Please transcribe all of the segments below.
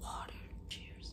Water, cheers.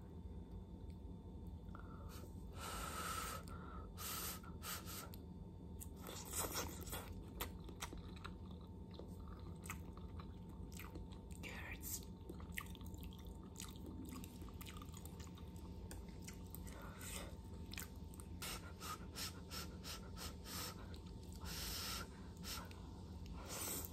Carrots.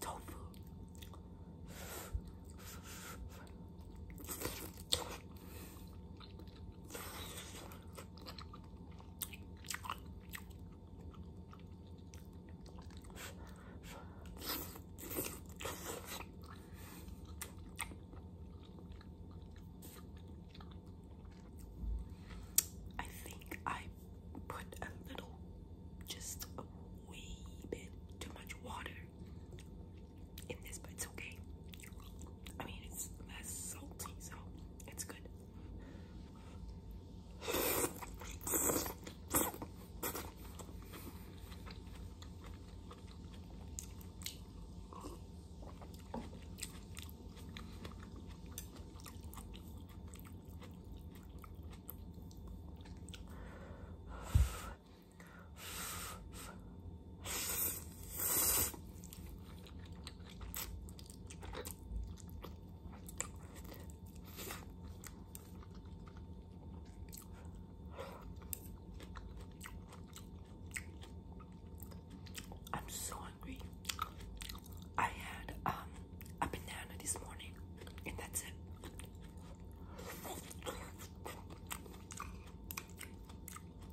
tofu. I think I put a little, just a wee bit too much water in this, but it's okay. I mean, it's less salty, so it's good. I'm so hungry. I had um, a banana this morning and that's it. Oh,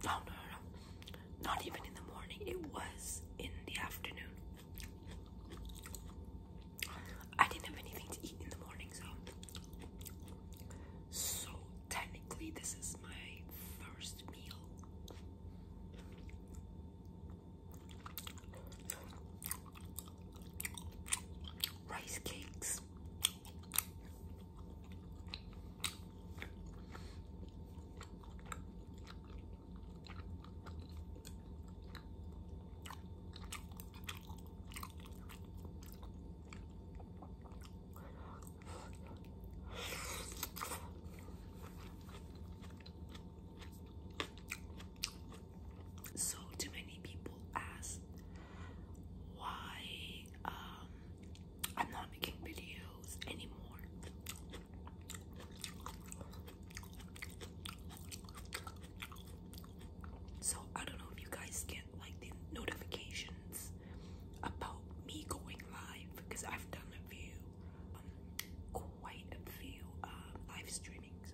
no, no, no, not even in the morning, it was in the afternoon. I didn't have anything to eat in the morning, so. So, technically, this is my first meal rice cakes. So too many people ask why um, I'm not making videos anymore. So I don't know if you guys get like the notifications about me going live because I've done a few, um, quite a few uh, live streaming. So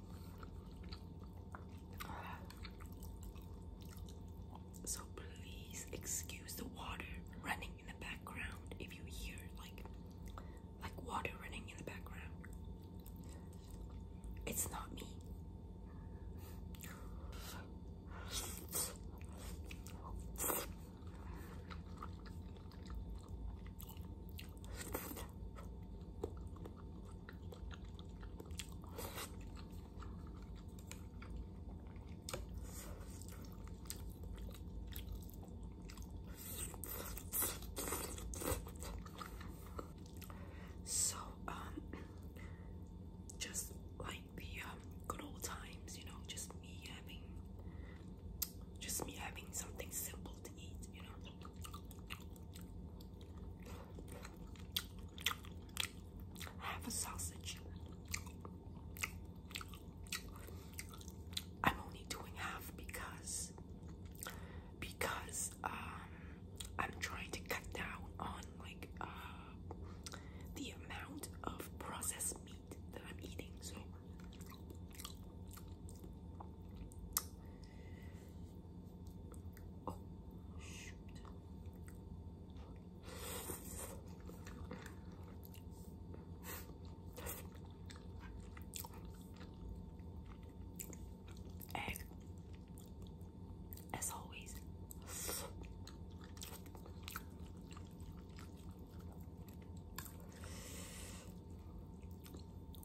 So please excuse the water running in the background if you hear like like water running in the background. It's not me. So, um, just like the um, good old times, you know, just me having, just me having something simple to eat, you know. Half a sausage. I'm only doing half because because um I'm trying to cut down on like uh the amount of processed meat that I'm eating so Oh, shoot. Egg, as always.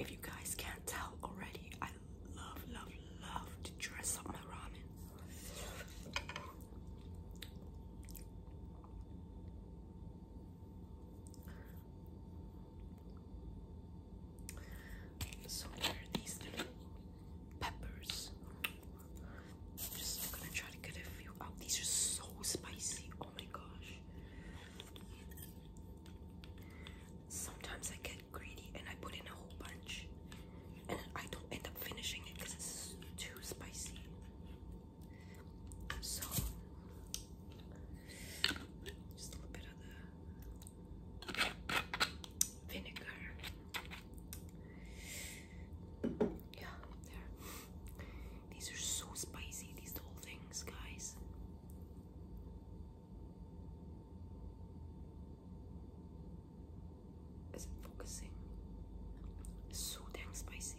If you guys can't tell already, I love, love, love to dress up my ramen. So here are these little peppers. just gonna try to get a few out. These are so spicy. Oh my gosh. Sometimes I get greedy and I put in a whole bunch. And I don't end up finishing it because it's too spicy. So, just a little bit of the vinegar. Yeah, there. These are so spicy, these little things, guys. Is it focusing? so damn spicy.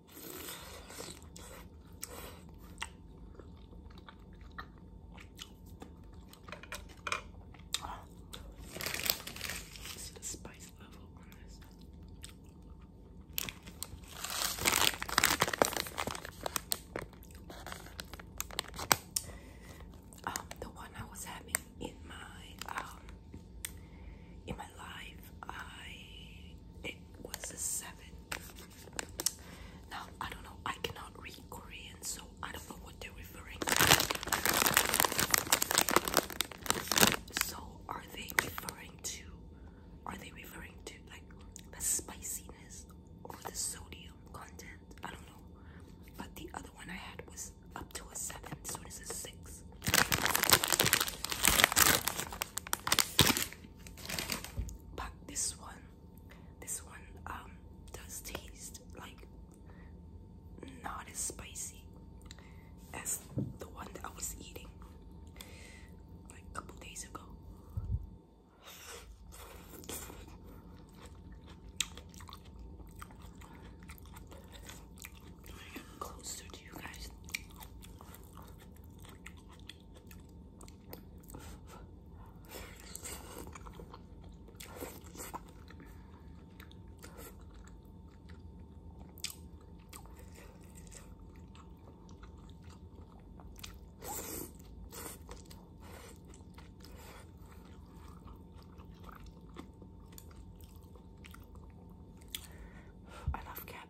the spice level on this? Um, the one I was having in my um in my life, I it was a seven now, I don't know, I cannot read Korean, so I don't know what they're referring So, are they referring to, are they referring to like the spiciness or the sodium content? I don't know. But the other one I had was up to a 7, so this is 6 but this one this one um does taste like not as spicy as the one that I was eating like a couple days ago. I love cat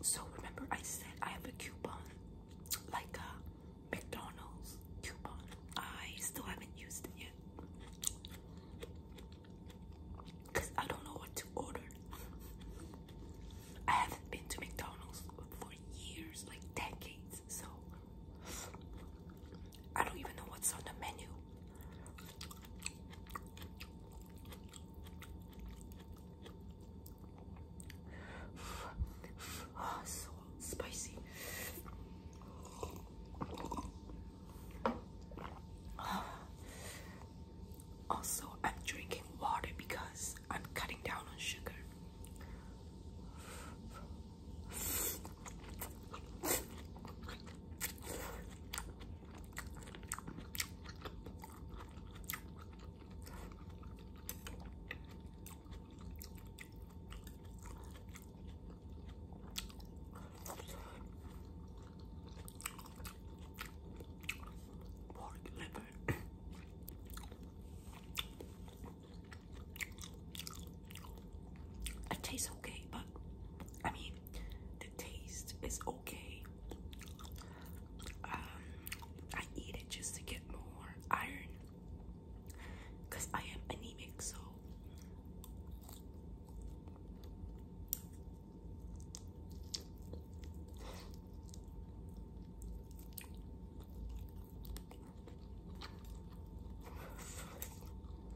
So remember I said I have a coupon, like a McDonald's coupon. I still haven't used it yet. Cause I don't know what to order. I haven't been to McDonald's for years, like decades, so I don't even know what's on the menu. Oh, so spicy. Also, I'm drinking water because I'm cutting down on sugar. Pork liver. It tastes okay, but I mean, the taste is okay. Um, I eat it just to get more iron because I am anemic, so.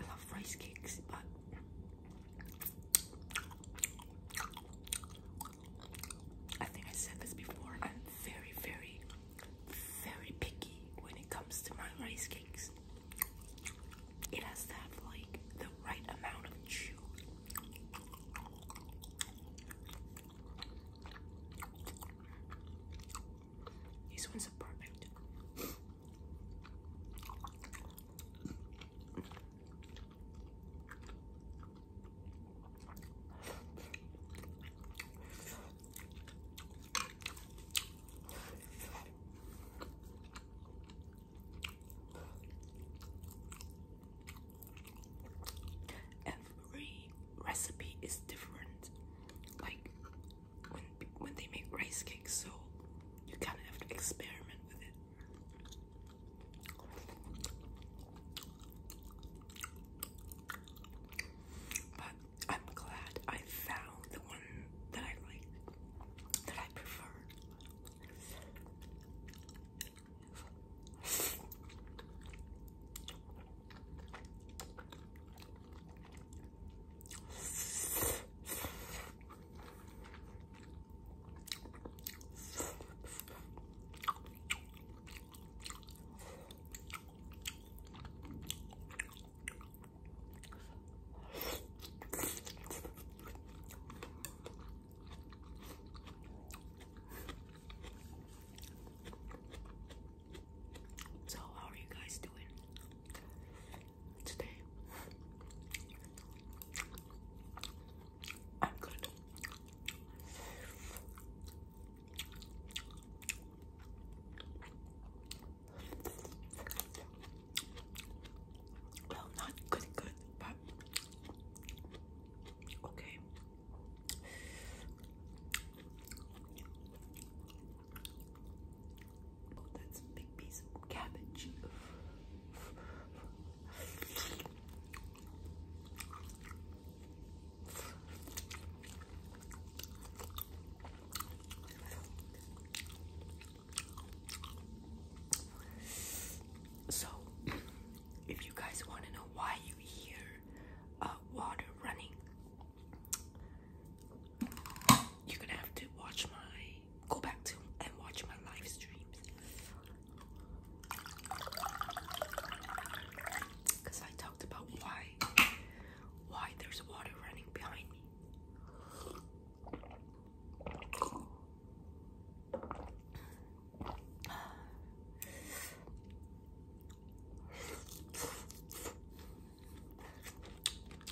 I love rice cakes, but I think I said this before. I'm very, very, very picky when it comes to my rice cakes. It has to have like the right amount of chew. These ones are perfect. Every recipe is different. Like when when they make rice cakes, so you kind of have to experiment with it. But I'm glad I found the one that I like, that I prefer. So, how are you guys doing? today. I'm good. Well, not good, good, but okay cabbage. So, if you guys want to know why you hear uh, water running, you're gonna have to watch my go back to and watch my live streams because I talked about why why there's water running behind me.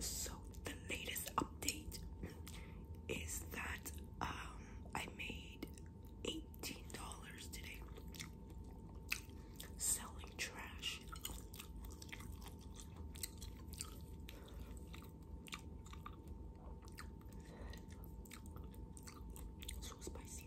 So the latest update is that um I made $18 today selling trash. So spicy.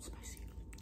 Spicy.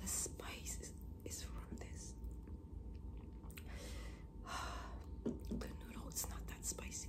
The spice is, from this. The noodle is not that spicy.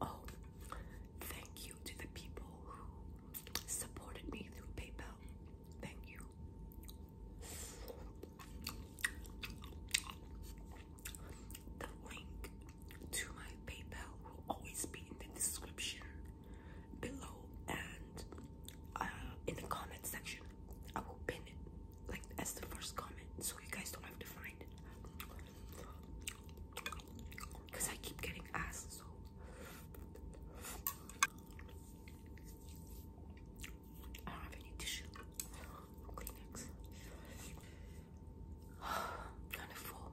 Oh, thank you to the people who supported me through PayPal. Thank you. The link to my PayPal will always be in the description below and uh, in the comment section. I will pin it like as the first comment so you guys don't have to find it. Because I keep getting asked, so. I don't have any tissue. kind of full.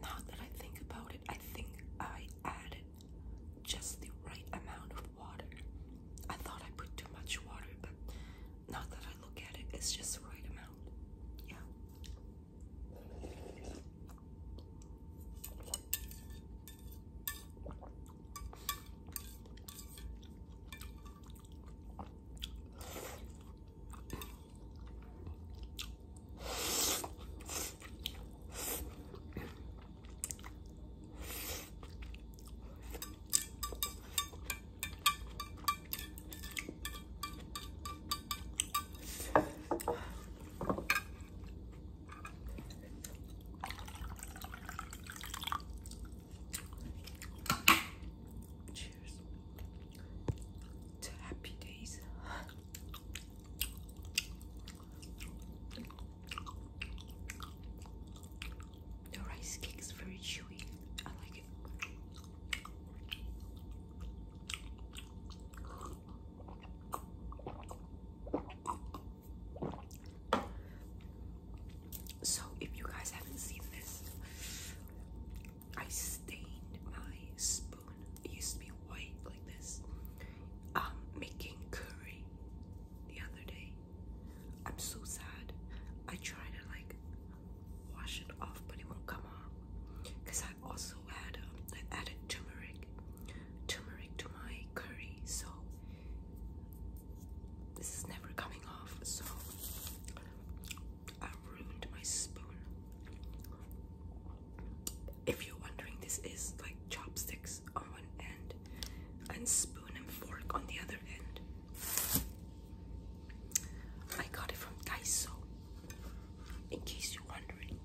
now that I think about it, I think I added just the right amount of water. I thought I put too much water, but now that I look at it, it's just the right amount. Yeah. Cheers to happy days. The rice cake is very chewy. I like it. So, if you guys haven't seen this, I stained my spoon used to be white like this. Um, making curry the other day. I'm so sad. I tried to like wash it off, but it won't come off. Cause I also had um, I added turmeric, turmeric to my curry, so this is never coming off. So I ruined my spoon if you're wondering, this is like chopsticks on one end and spoon and fork on the other end. I got it from Daiso, in case you're wondering.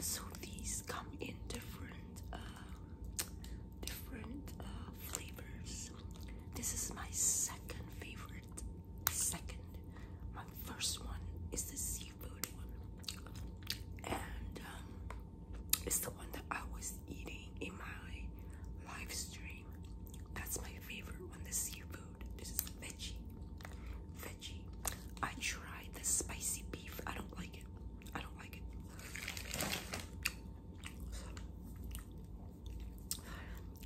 So these come in different uh, different uh, flavors. This is my second favorite. Second, my first one is the seafood one, and um, it's the one that I was eating in my live stream. That's my favorite one. The seafood. This is veggie. Veggie. I tried the spicy beef. I don't like it. I don't like it.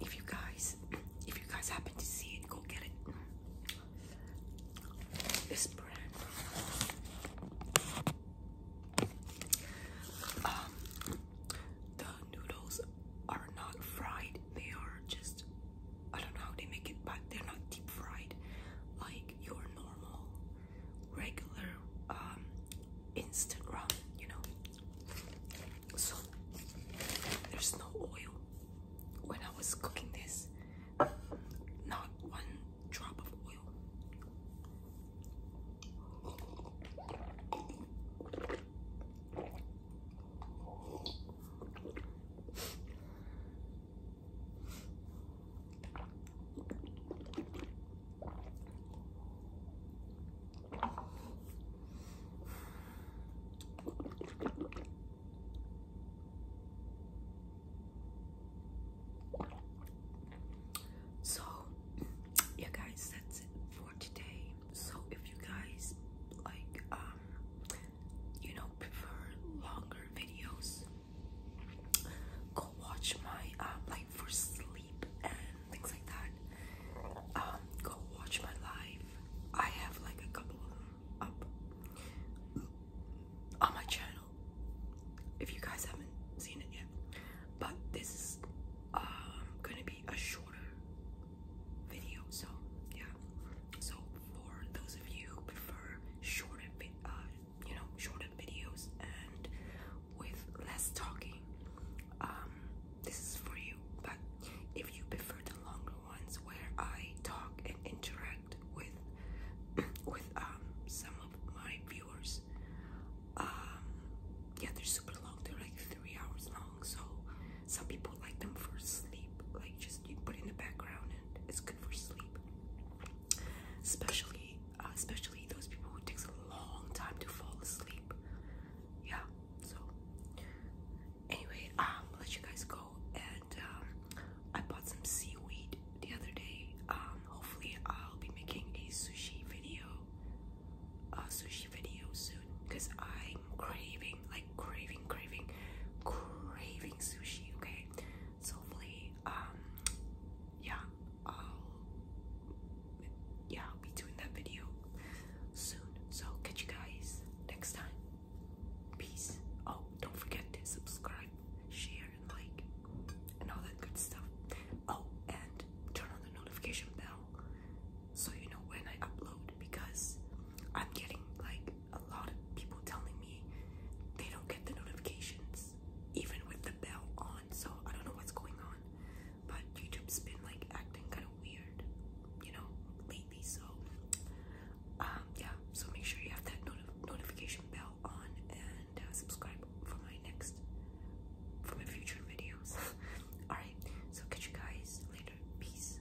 If you guys, if you guys happen to see it, go get it. This brand. Um, the noodles are not fried. They are just, I don't know how they make it, but they're not deep fried like your normal regular um, Instagram, you know. So there's no oil. When I was cooking this, not one drop of oil. So, yeah, guys, that's it for today. So, if you guys like, um, you know, prefer longer videos, go watch my um, for sleep and things like that. Um, go watch my live. I have like a couple of them up on my channel if you guys haven't seen it yet. But this is um, gonna be a shorter video, so yeah. So for those of you who prefer shorter, uh, you know shorter videos and with less talking um, this is for you but if you prefer the longer ones where i talk and interact with with um, some of my viewers um, yeah they're super long they're like three hours long so some people like them for sleep like just you put in the background and it's good for sleep especially uh, especially those people who takes a long time to fall asleep. Yeah. So anyway, um, let you guys go. And um, I bought some seaweed the other day. Um, hopefully I'll be making a sushi video, a sushi video soon, because I'm craving, like craving, craving, craving sushi. Okay. So hopefully, um, yeah, I'll yeah, I'll be doing that video soon. So catch you guys next time. Peace. Oh, don't forget to subscribe, share, and like, and all that good stuff. Oh, and turn on the notification bell so you know when I upload because I'm getting like a lot of people telling me they don't get the notifications even with the bell on, so I don't know what's going on. But YouTube's been like acting kind of weird, you know, lately. So, um, yeah. So make sure you have that not notification bell on and uh, subscribe for my next, for my future videos. All right. So catch you guys later. Peace.